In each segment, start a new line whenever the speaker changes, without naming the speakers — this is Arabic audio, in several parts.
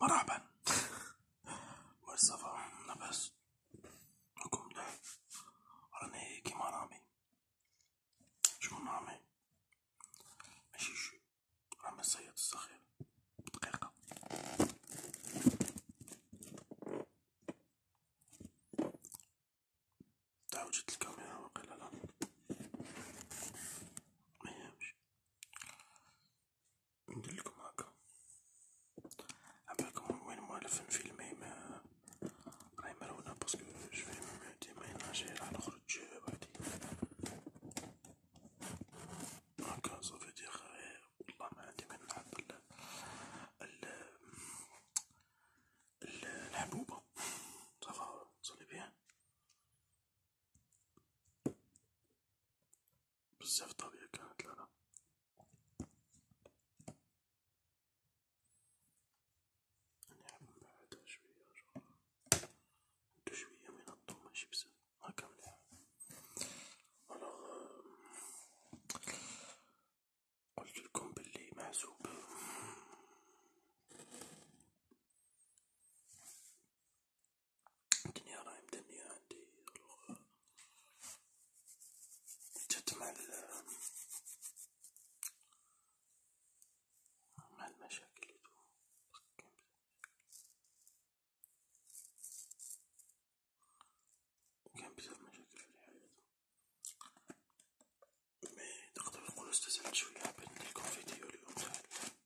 مرحبا والصفا لاباس راكم مليح راني كيما رامي شكون رامي ماشي شو رامي الصياد الصغير دقيقة تعوجت الكاميرا وقيلا لا ميهمش ندير لكم هكا عبالكم وين مؤلف الفيلم ما راهي مرونة باسكو شوية ديما يناجي راح نخرج بعدي هكا صافي دي خير والله ما عندي ما نلعب الحبوبة صافا صلي بيان بزاف طبيعي كانت لا لا نحب نبعدها شوية ندو شوية من الضو ماشي بزاف آه، هاكا مليح ألوغ آه، قلتلكم بلي محسوب الدنيا راهي مدمية عندي جات مع مع المشاكل اللي تكون كان بزاف مشاكل في الحياة مي تقدر نقولو استزعلت شوية حبيت نديرلكم فيديو اليوم تاع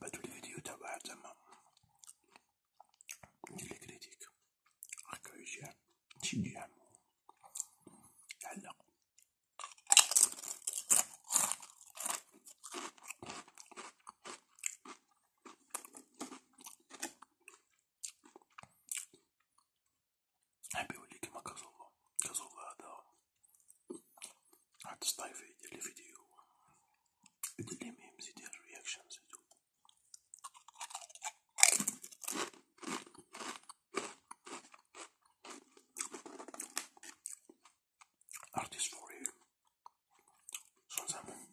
بدو الفيديو تبع زعما ندير كريتيك هكا يجي شي يجي يعلق حبي يولي كيما كازوفا كازوفا هذا отстаиваю или video. или мем, или reactions видео. Artist for you. Sometimes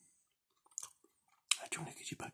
I don't get you back.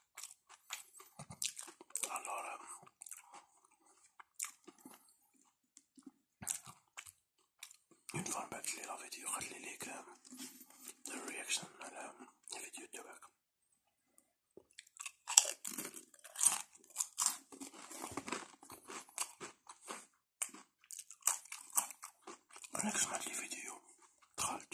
allora une fois ما بعثت لي لا فيديو قالت لي ليك دير رياكشن على الفيديو تاعك انا سمعت لي فيديو دخلت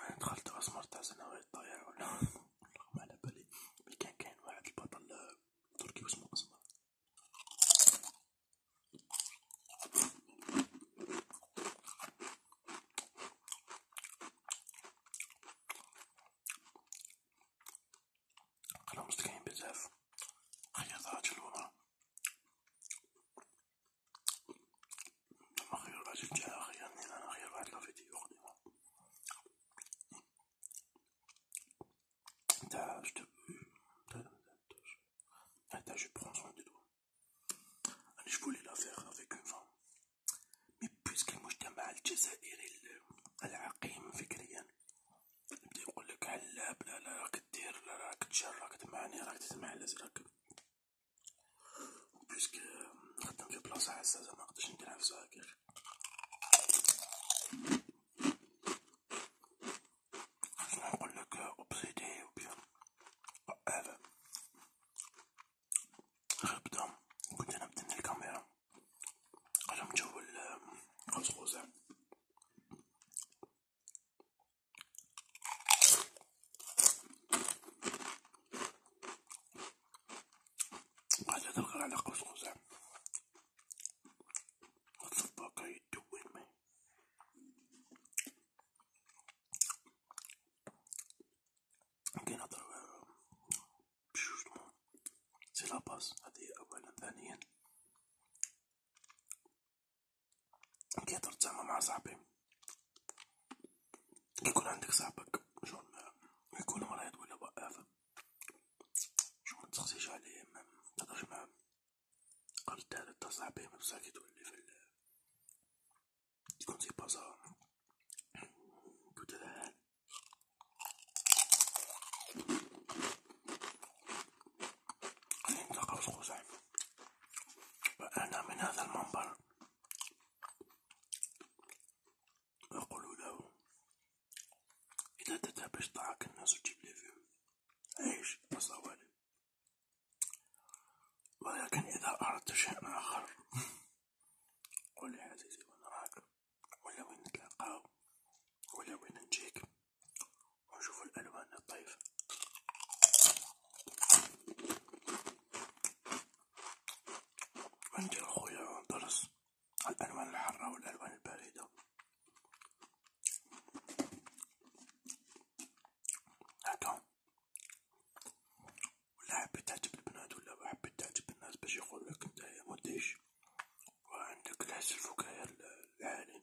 أنا دخلت أسمر تاع سنوات ضايع ولا والله ما على بالي مي كان كاين واحد البطل آه، تركي واسمو أسمر قلهم مستكاين بزاف خيط راجل ومرا أخيرا عجبت أخيرا يعني أنا أخيرا واحد لافيتي أخدمها تاع جو تاع جو برون سوان دو توا أنا جو فولي لافيغ افيك اون فام مي بويسك المجتمع الجزائري العقيم فكريا يبدا يقولك على لا لا راك دير لا راك تشر راك تمعني راك تسمع لازم راك باسكو نخدم في بلاصة حساسة زعما منقدرش نديرها في صغاكير شنو نقولك اوبسيدي أو بيان هذا غير بدا كنت أنا متني الكاميرا قلمتو بالقزقوزة هذا دلغر على قوس قزح والصباكة يتدون معي كي نهضر بجوج دموع سي لاباس هادي أولا ثانيا كيهضر تما مع صاحبي كيكون عندك صاحبك شغل يكون مريض ولا واقف شو متسقسيش عليه ما تهضرش معاه قال هذا تاع صاحبي من بصح كيتولي في ال تكون سي بازا كتلهان خلينا نتلاقاو سقو صاحبي وأنا من هذا المنبر يقول له إذا تتابش ضعك الناس وتجيب لي فيهم عيش بصوالي ولكن إذا أردت شيئا آخر قل لي عزيزي وين راك ولا وين نتلاقاو ولا وين نجيك ونشوف الألوان الطيفة عندي اخويا درس الالوان الحارة والالوان الباردة هكا ولا حبيت تعجب البنات ولا حبيت تعجب الناس باش يقولك نتايا مديش وعندك الحس الفكاهي العالي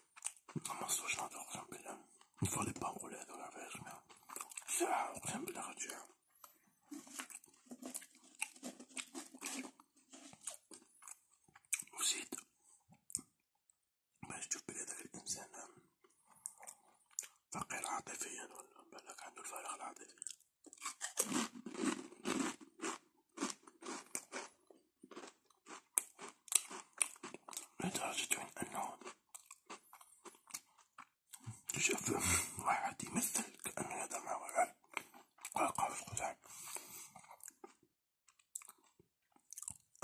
خمسطاش نهار أقسم بالله نصلي با نقول هاذو فيها سميها ساعة أقسم بالله غتجيع وزيد باش تشوف بلي هداك الإنسان فقير عاطفيا ولا بالك عندو الفراغ العاطفي لدرجة أنه شاف واحد يمثل كأنه يدمع ولا قال خزعة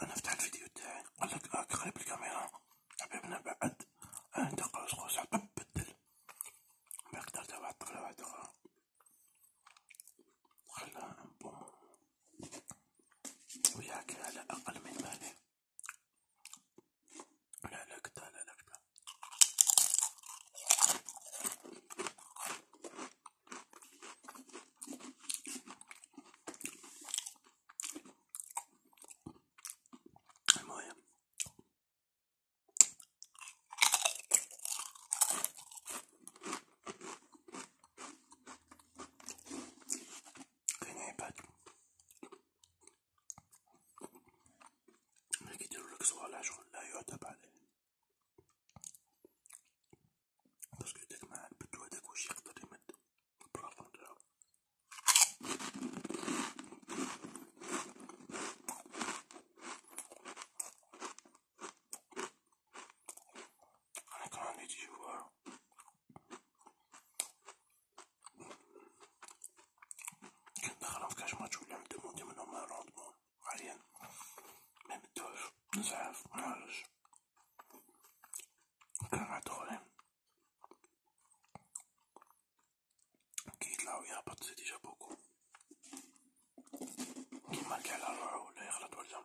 أنا فتح الفيديو تاعي قال لك آك آه، قريب الكاميرا حبيبنا بعد أنت قوس قوس عقب بدل ما قدرت واحد طفلة واحدة أخرى خلاها بوم وياك على أقل من ماله لا لا كده لا لا كده المهم كنعيبات ما كيديرولك صوالح شغل لا يعتب عليه باسكو داك مع البدو هداك واش يقدر يمد البلاطو نتاعو انا كان عندي تجربة كنت نخرم في كاش ماتش ولا مدمون منهم روندمون حاليا ميمدوش نزعف منعرفش كان عاد خرين كي يطلع ويهبط زيد يجا بوكو كيما على روحو ولا يغلط ولا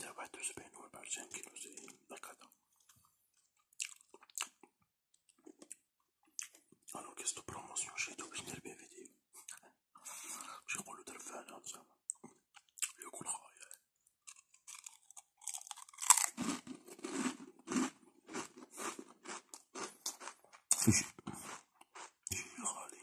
سبعة وسبعين وأربعين كيلو زي هكذا أنا كيستو بروموسيون شريتو باش ندير بيه فيديو باش يقولو درفانة زعما ياكل خايا يجي يجي غالي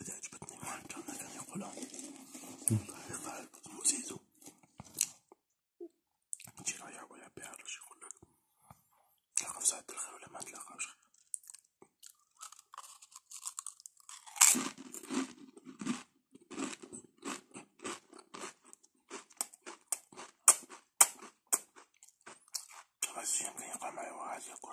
التي عجبتني كان كان يقولها قال ام زيزو تجي رايح ولا بيها ولا شي يقول لك تلاقى في ساعة الخير ولا ما تلاقاوش غازي يمكن يقع معي وغازي يقول